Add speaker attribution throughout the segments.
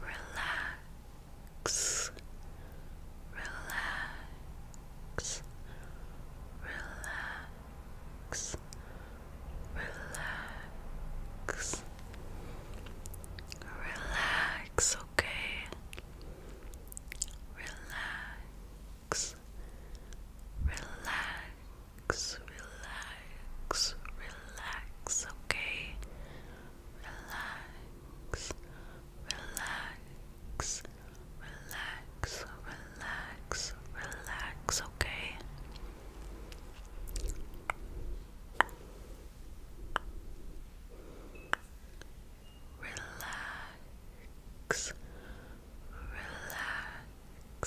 Speaker 1: Relax, relax, relax, relax, relax, okay? Relax, relax relax, relax, okay? Relax, relax, relax, relax, relax, okay? relax, relax,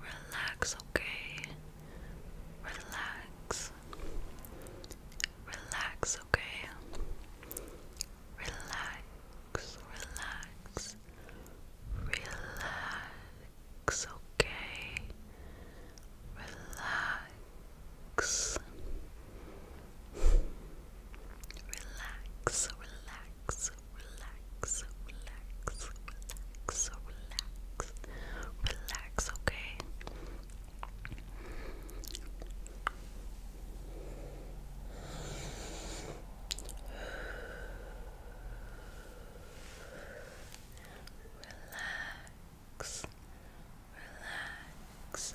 Speaker 1: Relax, okay? Relax. Relax, okay? Relax, relax. Relax, okay? Relax. Relax, relax, relax, relax, relax, relax, relax, okay? relax, relax, relax,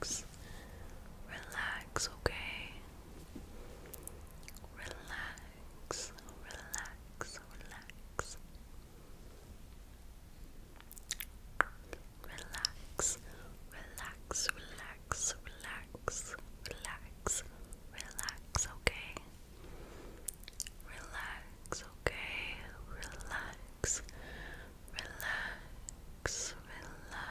Speaker 1: Relax, relax, okay. Relax, relax, relax. Relax, relax, relax, relax, relax, relax, okay? Relax, okay? Relax, relax, relax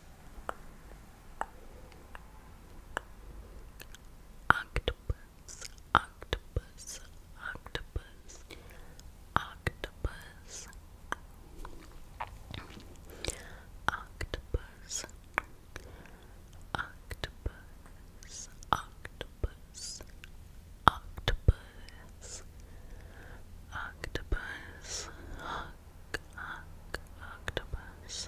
Speaker 1: Octopus, octopus, octopus, octopus, octopus, octopus, octopus, octopus, octopus, octopus, oc octopus.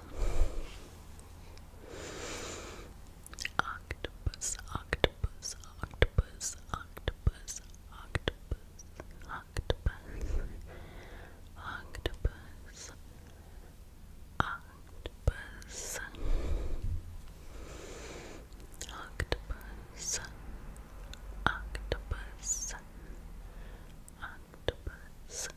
Speaker 1: Octopus, octopus, octopus, octopus, octopus, octopus, octopus, octopus, octopus, octopus, octopus,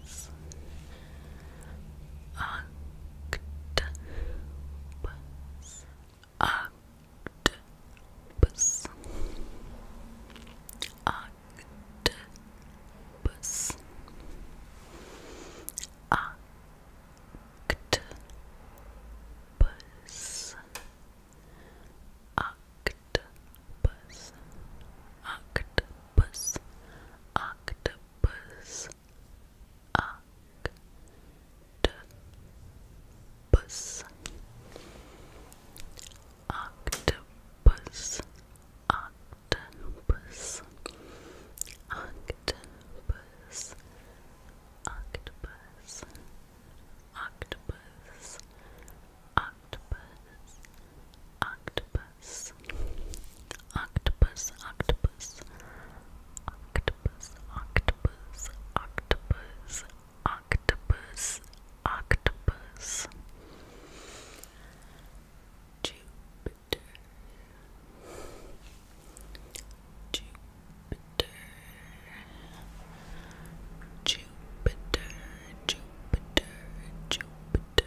Speaker 1: was octopus, octopus, octopus, octopus, octopus octopus, octopus, octopus, octopus, octopus, octopus, octopus, octopus, octopus, octopus, octopus, octopus, octopus, octopus, octopus, octopus, octopus, octopus, octopus, Jupiter, Jupiter. Jupiter, Jupiter, Jupiter,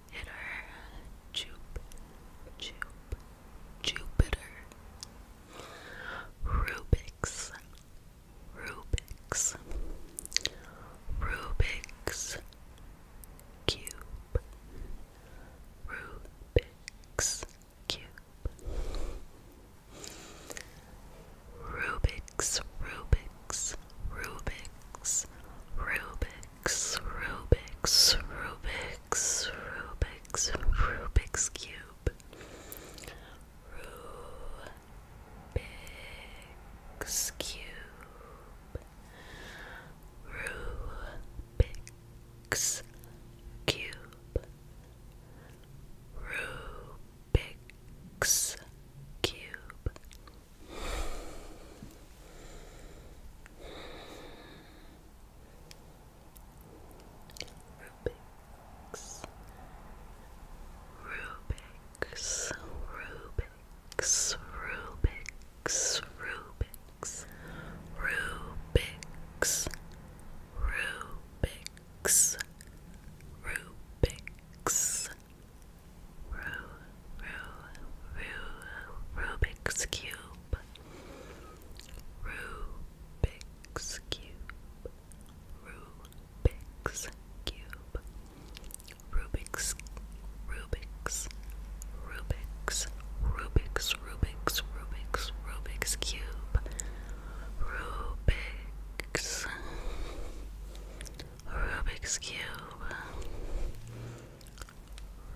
Speaker 1: Jupiter, Jup, Jup, Jupiter, Rubik's, Rubik's, Rubik's Cube, Rubik's Cube, Rubik's, Rubik's. Rubik's, Rubik's, Rubik's, Rubik's, Rubik's, Rubik's, Cube. Rubik's Cube. Rubik's Cube. Rubik's Cube. Rubik's Rubik's Rubik's Rubik's Rubik's Rubik's Rubik's Rubik's Rubik's Cube, Rubik's Cube, Rubik's Cube, Rubik's, Rubik's, Rubik's, Rubik's, Rubik's, Rubik's Cube, Rubik's. Rubik's Cube.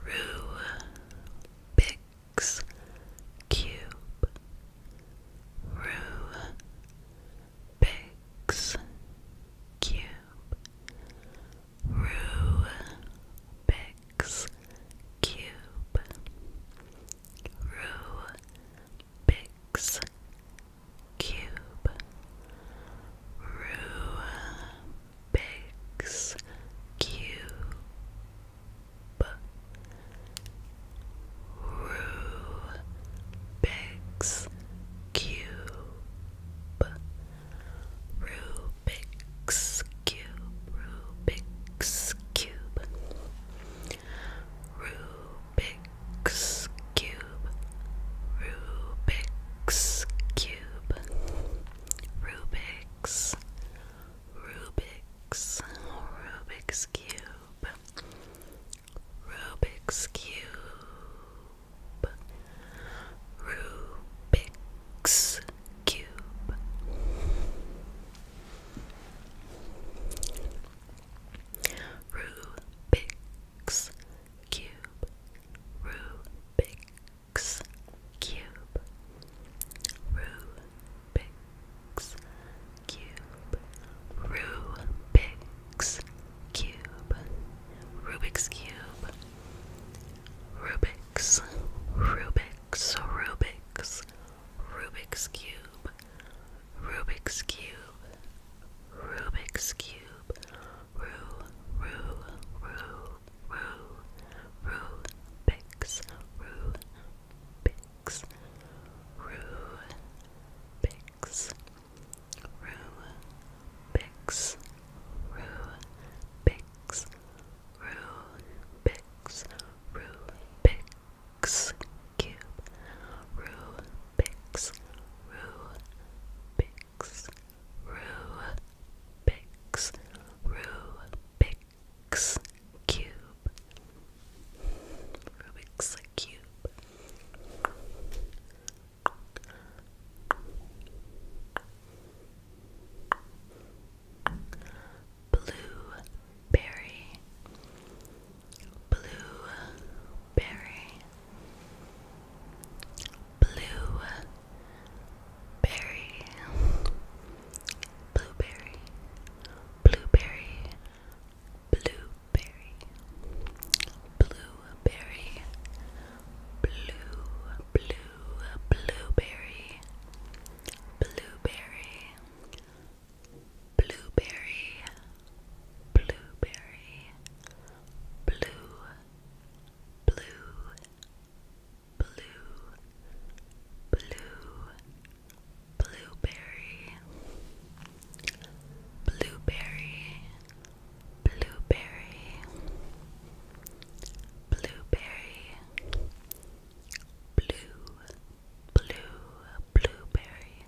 Speaker 1: Rubik's Cube. Rubik's Cube. Rubik's Cube. Rubik's Cube, Rubik's Cube, Rubik's Cube, Rubik's Cube, Rubik's Cube, Rubik's Rubik's Cube, Rubik's Cube, Rubik's, Rubik's, Rubik's Cube, Rubik's Cube, Rubik's Cube. Rubik's Rubik's Cube, Rubik's Cube, Rubik's Cube, Rubik's Cube, Rubik's Cube, Rubik's, Rubik's, Rubik's, Rubik's Cube, Rubik's Cube, Rubik's Cube. Rue, Rue, Rue, Rue, Rue, Bix, Rue, Bix, Rue, Bix, Rue, Bix, Rue, Bix, Rue, Bix, Rue, Bix, Cube, Rue, Bix, Roo, Bix, Roo, Cube, Rubik's Cube. Blueberry, blueberry, berry, blue berry, blueberry, blueberry, blueberry, blueberry, blue, blue, blueberry, blueberry. Blueberry, blueberry, blue, blue, blue, blue, blueberry, blueberry, blueberry, blueberry, blue, blue, blueberry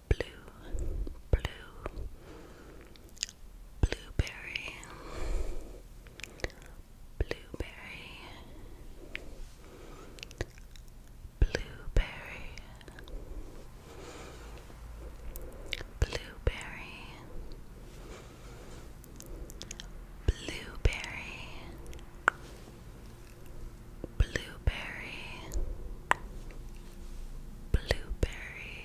Speaker 1: blue, blue, blueberry, blueberry, blueberry, blueberry, blueberry. Blueberry, blueberry,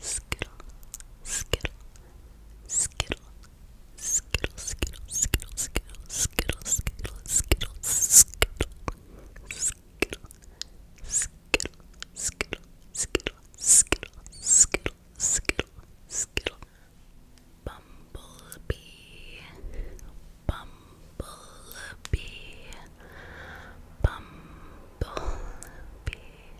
Speaker 1: skittle, skittle, skittle, skittle, skittle, skittle, skittle, skittle, skittle, skittle, skittle, skittle, skittle, skittle, skittle, skittle, skittle, skittle, skittle, bumblebee, bumblebee, bumblebee.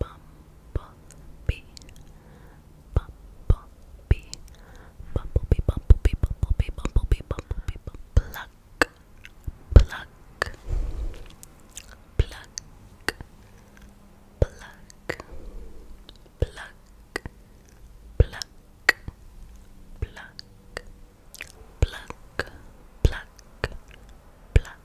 Speaker 1: Bumblebee. Bumblebee. Bumblebee, bumblebee, bumblebee, bumblebee, bumblebee, bumblebee. Pluck. Pluck. Pluck. Pluck. Pluck. Pluck. Pluck. Pluck. Pluck. Pluck.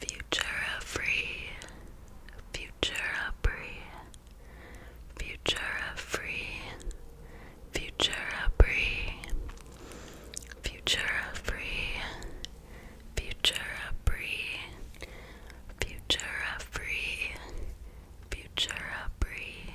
Speaker 1: Futura free, Futura free, Futura free, Futura free, Futura free, Futura free, Futura free, free,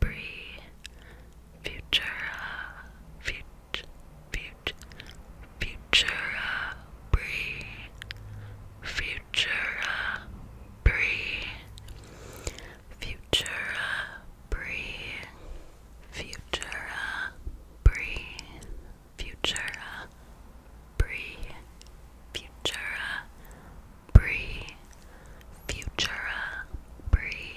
Speaker 1: Bree, Futura, Future, Future, Futura, Bree, Futura, Bree, Futura, Bree, Futura, Bree, Futura, Bree, Futura, Bree,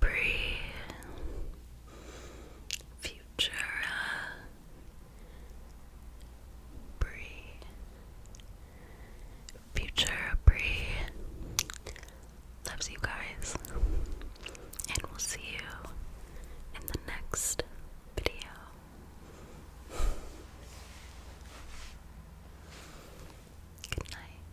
Speaker 1: Bree, Futura, Bree, Future uh, Bree. Uh, Loves you guys, and we'll see you in the next video. Good night.